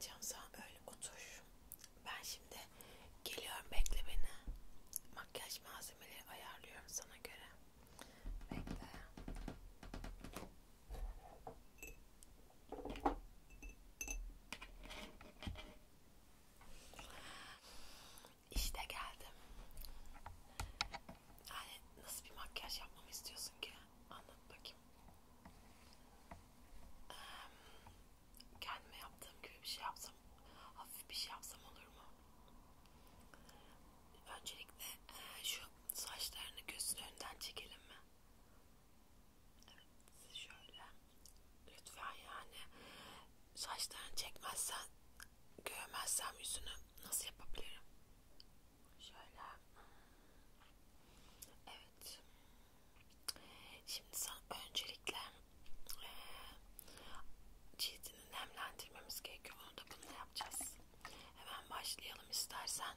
Can sen böyle otur. Ben şimdi geliyorum bekle beni. Makyaj malzemeleri ayarlıyorum sana göre. Bekle. İşte geldim. Yani nasıl bir makyaj yapmamı istiyorsun ki? Anlat bakayım. Ee, kendime yaptığım gibi bir şey yapsam, hafif bir şey yapsam olur mu? Öncelikle e, şu saçlarını gözün önünden çekelim mi? Evet şöyle. Lütfen yani saçlarını çekmezsen görmezsem yüzünü nasıl yapabilirim? Şöyle. Evet. Şimdi sana öncelikle e, cildini nemlendirmemiz gerekiyor. Onu da bununla yapacağız. Hemen başlayalım istersen.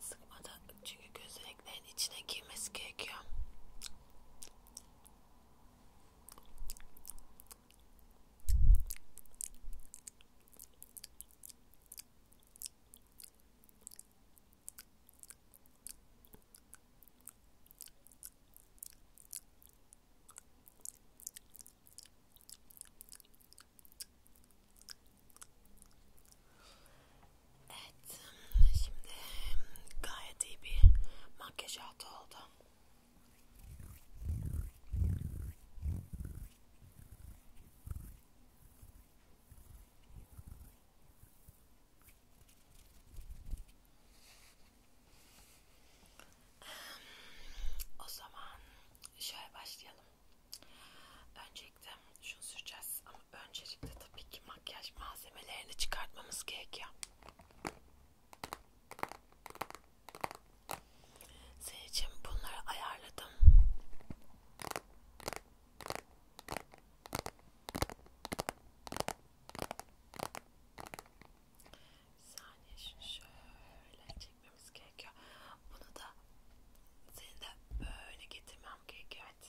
sıkmadan çünkü gözlüklerin içine girmesi gerekiyor. Evet, şimdi gayet iyi bir makyaj altı oldu. O zaman şöyle başlayalım. Önce çektim. Şunu süreceğiz ama öncelikle tabii ki makyaj malzemelerini çıkartmamız gerekiyor. Senin için bunları ayarladım. Bir saniye şunu şöyle çekmemiz gerekiyor. Bunu da seni de böyle getirmem gerekiyor. Evet.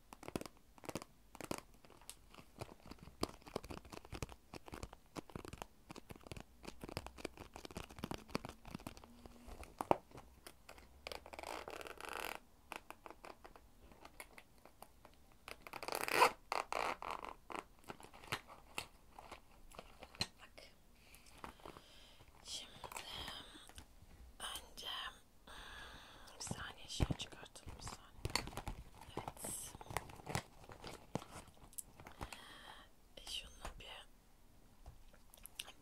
Bak. Şimdi önce hmm, bir saniye şey çıkar çıkartalım bir saniye. Evet. E şununla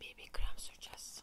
bir BB krem süreceğiz.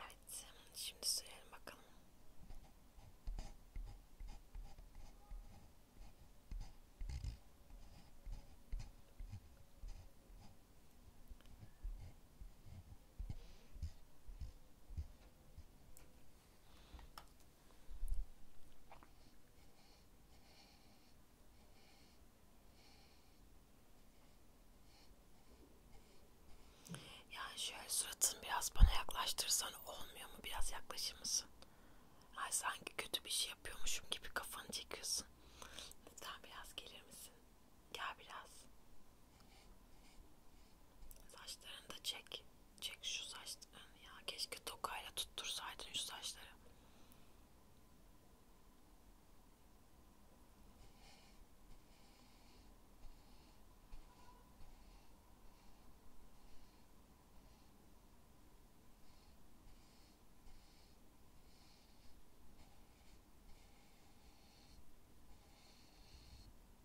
Evet, şimdi sürelim bakalım. Yani şöyle suratını biraz bana yaklaştırsan olmuyor mu? Biraz yaklaşır mısın? Ay sanki kötü bir şey yapıyormuşum gibi kafanı çekiyorsun. Lütfen biraz gelir misin? Gel biraz. Saçlarını da çek. Çek şu saçlarını ya. Keşke tokayla tuttursaydın şu saçları.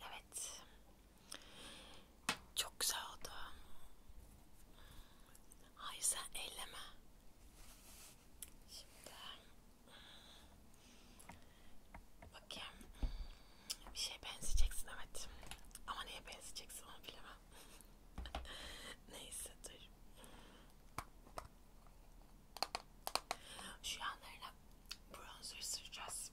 Evet. Çok güzel oldu. Hayır sen elleme. Şimdi bakayım. Bir şeye benzeyeceksin evet. Ama neye benzeyeceksin onu bilemem. Neyse dur. Şu yanlarına bronzer süreceğiz.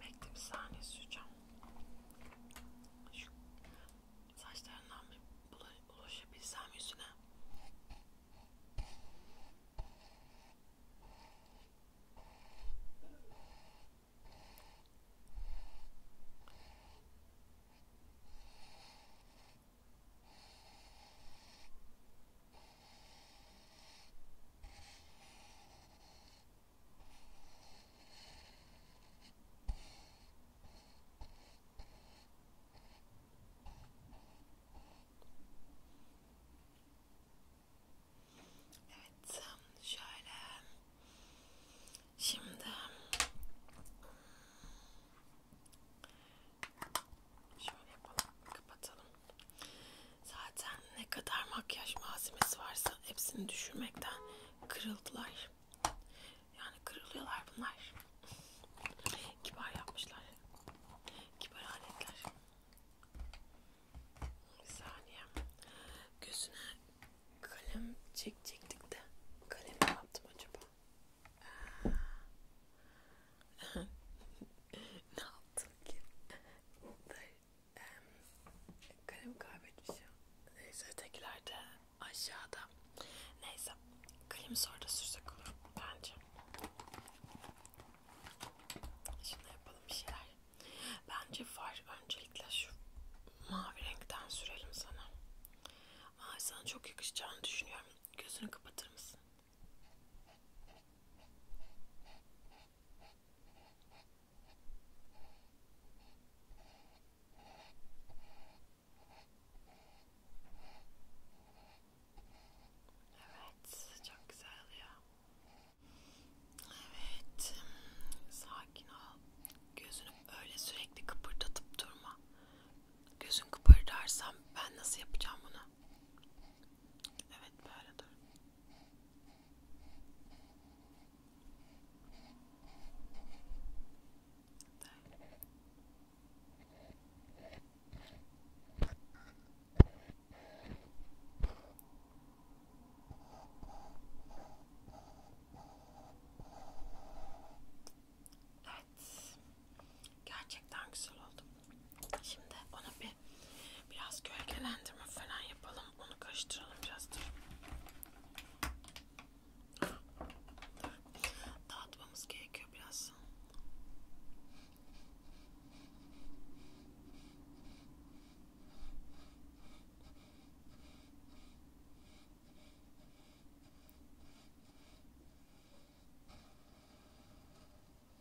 Bekle bir saniye süreceğim. Şu saçlarından bir ulaşabilsem yüzüne. Evet, şöyle. Şimdi şöyle yapalım, kapatalım. Zaten ne kadar makyaj malzemesi varsa hepsini düşürmekten kırıldılar. Yani kırılıyorlar bunlar. Kibar yapmışlar. Kibar aletler. Bir saniye. Gözüne kalem çekecektik de. Kalemi ne yaptım acaba? ne yaptım ki? kalem kaybetmişim. Neyse ötekiler de aşağıda. Neyse kalemi sonra da sürsek olur bence. Şimdi yapalım bir şeyler. Bence far öncelikle şu mavi renkten sürelim sana. Mavi sana çok yakışacağını düşünüyorum. Gözünü kapatır mısın? Evet, çok güzel ya. Evet, sakin ol. Gözünü öyle sürekli kıpırdatıp durma. Gözün kıpırdarsam ben nasıl yapacağım bunu? Evet, böyle dur. Evet. Gerçekten güzel oldu. Şimdi ona bir biraz gölgelendirme falan yapalım. Onu karıştıralım biraz. Dur. Dağıtmamız gerekiyor biraz.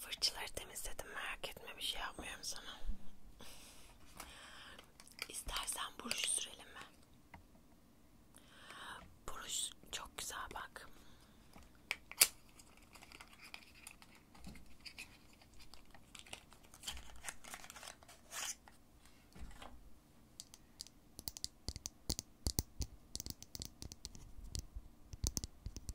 Fırçaları temizledim merak etme bir şey yapmıyorum sana. İstersen buruş sürelim mi? Buruş çok güzel bak.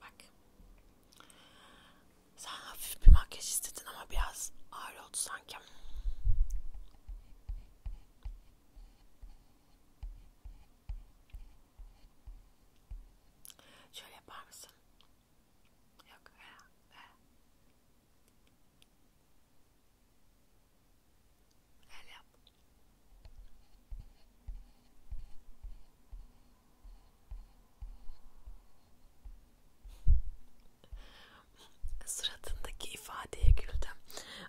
Bak. Sen hafif bir makyaj istedin ama biraz ağır oldu sanki. Şöyle yapar mısın? Yok. He, he. El yap. Suratındaki ifadeye güldüm.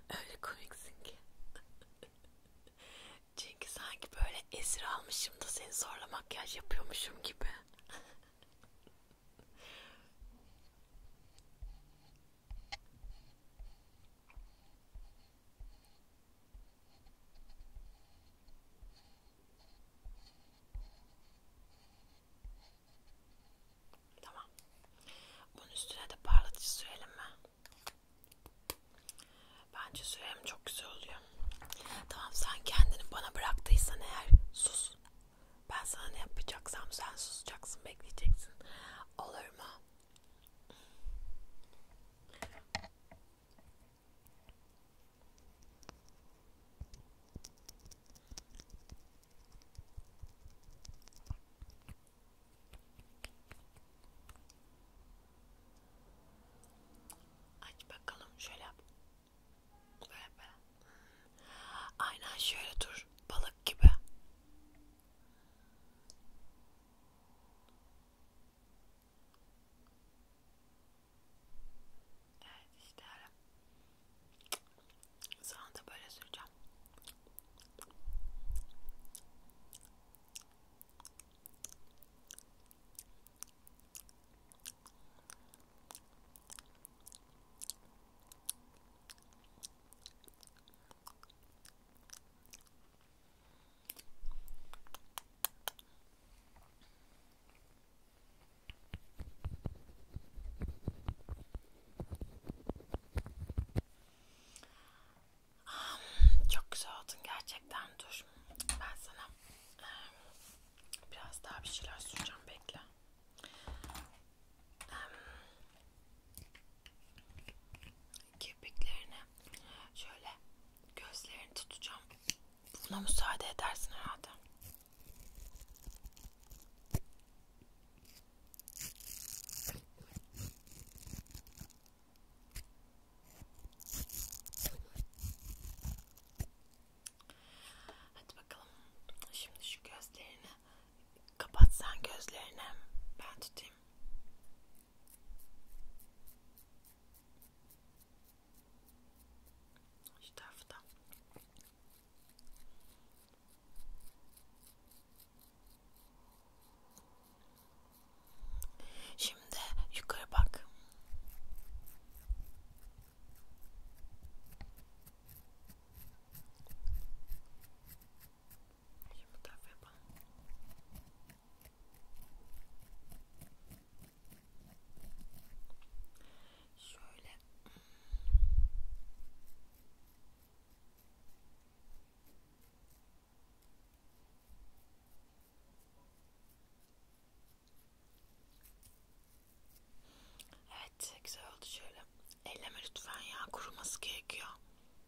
Öyle komiksin ki. Çünkü sanki böyle esir almışım da seni zorla makyaj yapıyormuşum gibi. Tamam. Bunun üstüne de parlatıcı sürelim mi? Bence sürem çok güzel oluyor. Tamam sen kendini bana bıraktıysan eğer sus. Ben sana ne yapacaksam sen susacaksın, bekleyeceksin. Olur mu? Aç bakalım şöyle yap. Böyle yap böyle. Aynen şöyle dur balık gibi. Evet işte öyle. Sonra da böyle süreceğim. Ah, çok güzel oldun gerçekten dur. Ben sana biraz daha bir şeyler süreceğim bekle kirpiklerini şöyle gözlerini tutacağım. Buna müsaade edersin herhalde. Hadi bakalım. Şimdi şu gözlerini kapat sen gözlerini. Ben tutayım. Şu tarafta. Şimdi yukarı bak. Şimdi bu tarafı yapalım. Şöyle. Evet güzel oldu şöyle. Elleme lütfen ya kuruması gerekiyor.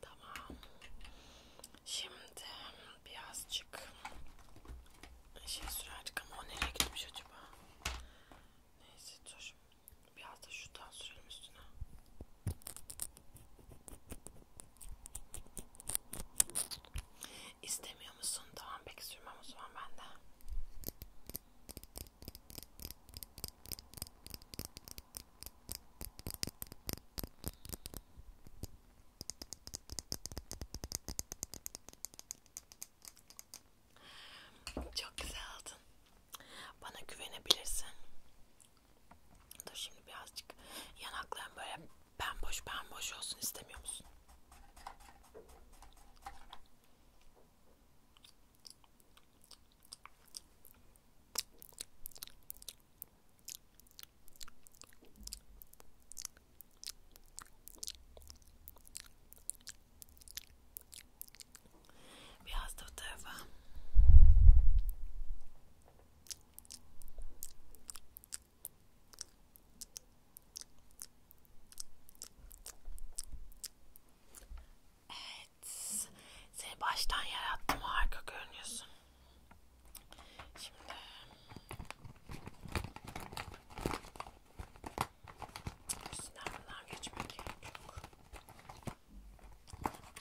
Tamam. Şimdi birazcık şey sürerdik ama o nereye gitmiş acaba? Neyse dur. Biraz da şuradan sürelim üstüne. İstemiyor musun? Tamam peki sürmem o zaman ben de. Çok güzel aldın. Bana güvenebilirsin. Dur şimdi birazcık yanaklarım böyle bomboş bomboş olsun istemiyor musun? Biraz da bu tarafa. Evet. Seni baştan yarattım. Harika görünüyorsun. Şimdi üstünden bundan geçmek gerek yok.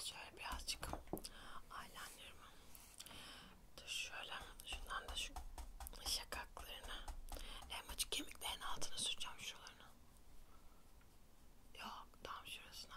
Şöyle birazcık eyelinerimi dur şöyle şundan da şu şakaklarını en açık kemiklerin altına süreceğim şuralarını. Yok tam şurasına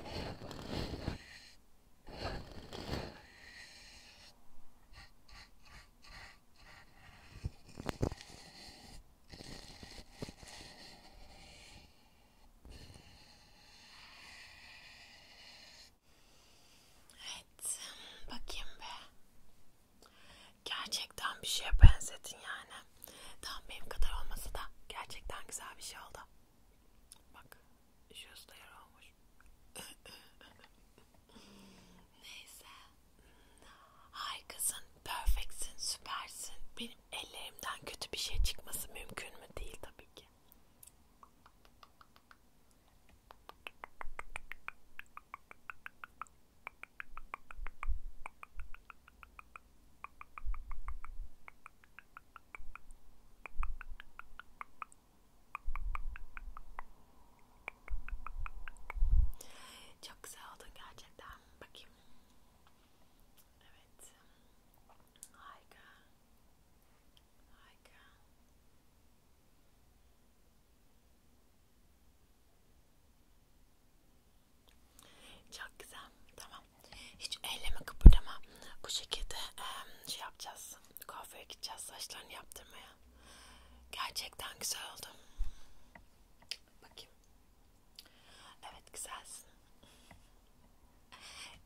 Evet, bakayım be. Gerçekten bir şeye benzedin yani. Tam benim kadar olmasa da gerçekten güzel bir şey oldu. Bak şurası da yara olmuş. Neyse. Harikasın, perfectsin, süpersin. Benim ellerimden kötü bir şey çıkması mümkün mü? Değil tabii ki. Çok güzel oldu gerçekten. Bakayım. Evet. Harika. Harika. Evet. Çok güzel. Tamam. Hiç elleme kıpırdama. Bu şekilde e, şey yapacağız. Kuaföre gideceğiz saçlarını yaptırmaya. Gerçekten güzel oldu. Bakayım. Evet güzelsin.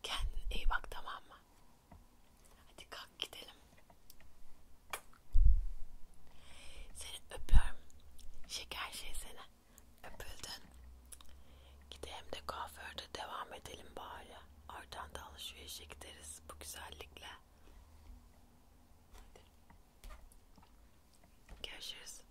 Kendine iyi bak tamam mı? Hadi kalk gidelim. Seni öpüyorum. Şeker şey seni. Öpüldün. Gidelim de kuaförde devam edelim bari. Oradan da alışverişe gideriz bu güzellikle. Hadi. Görüşürüz.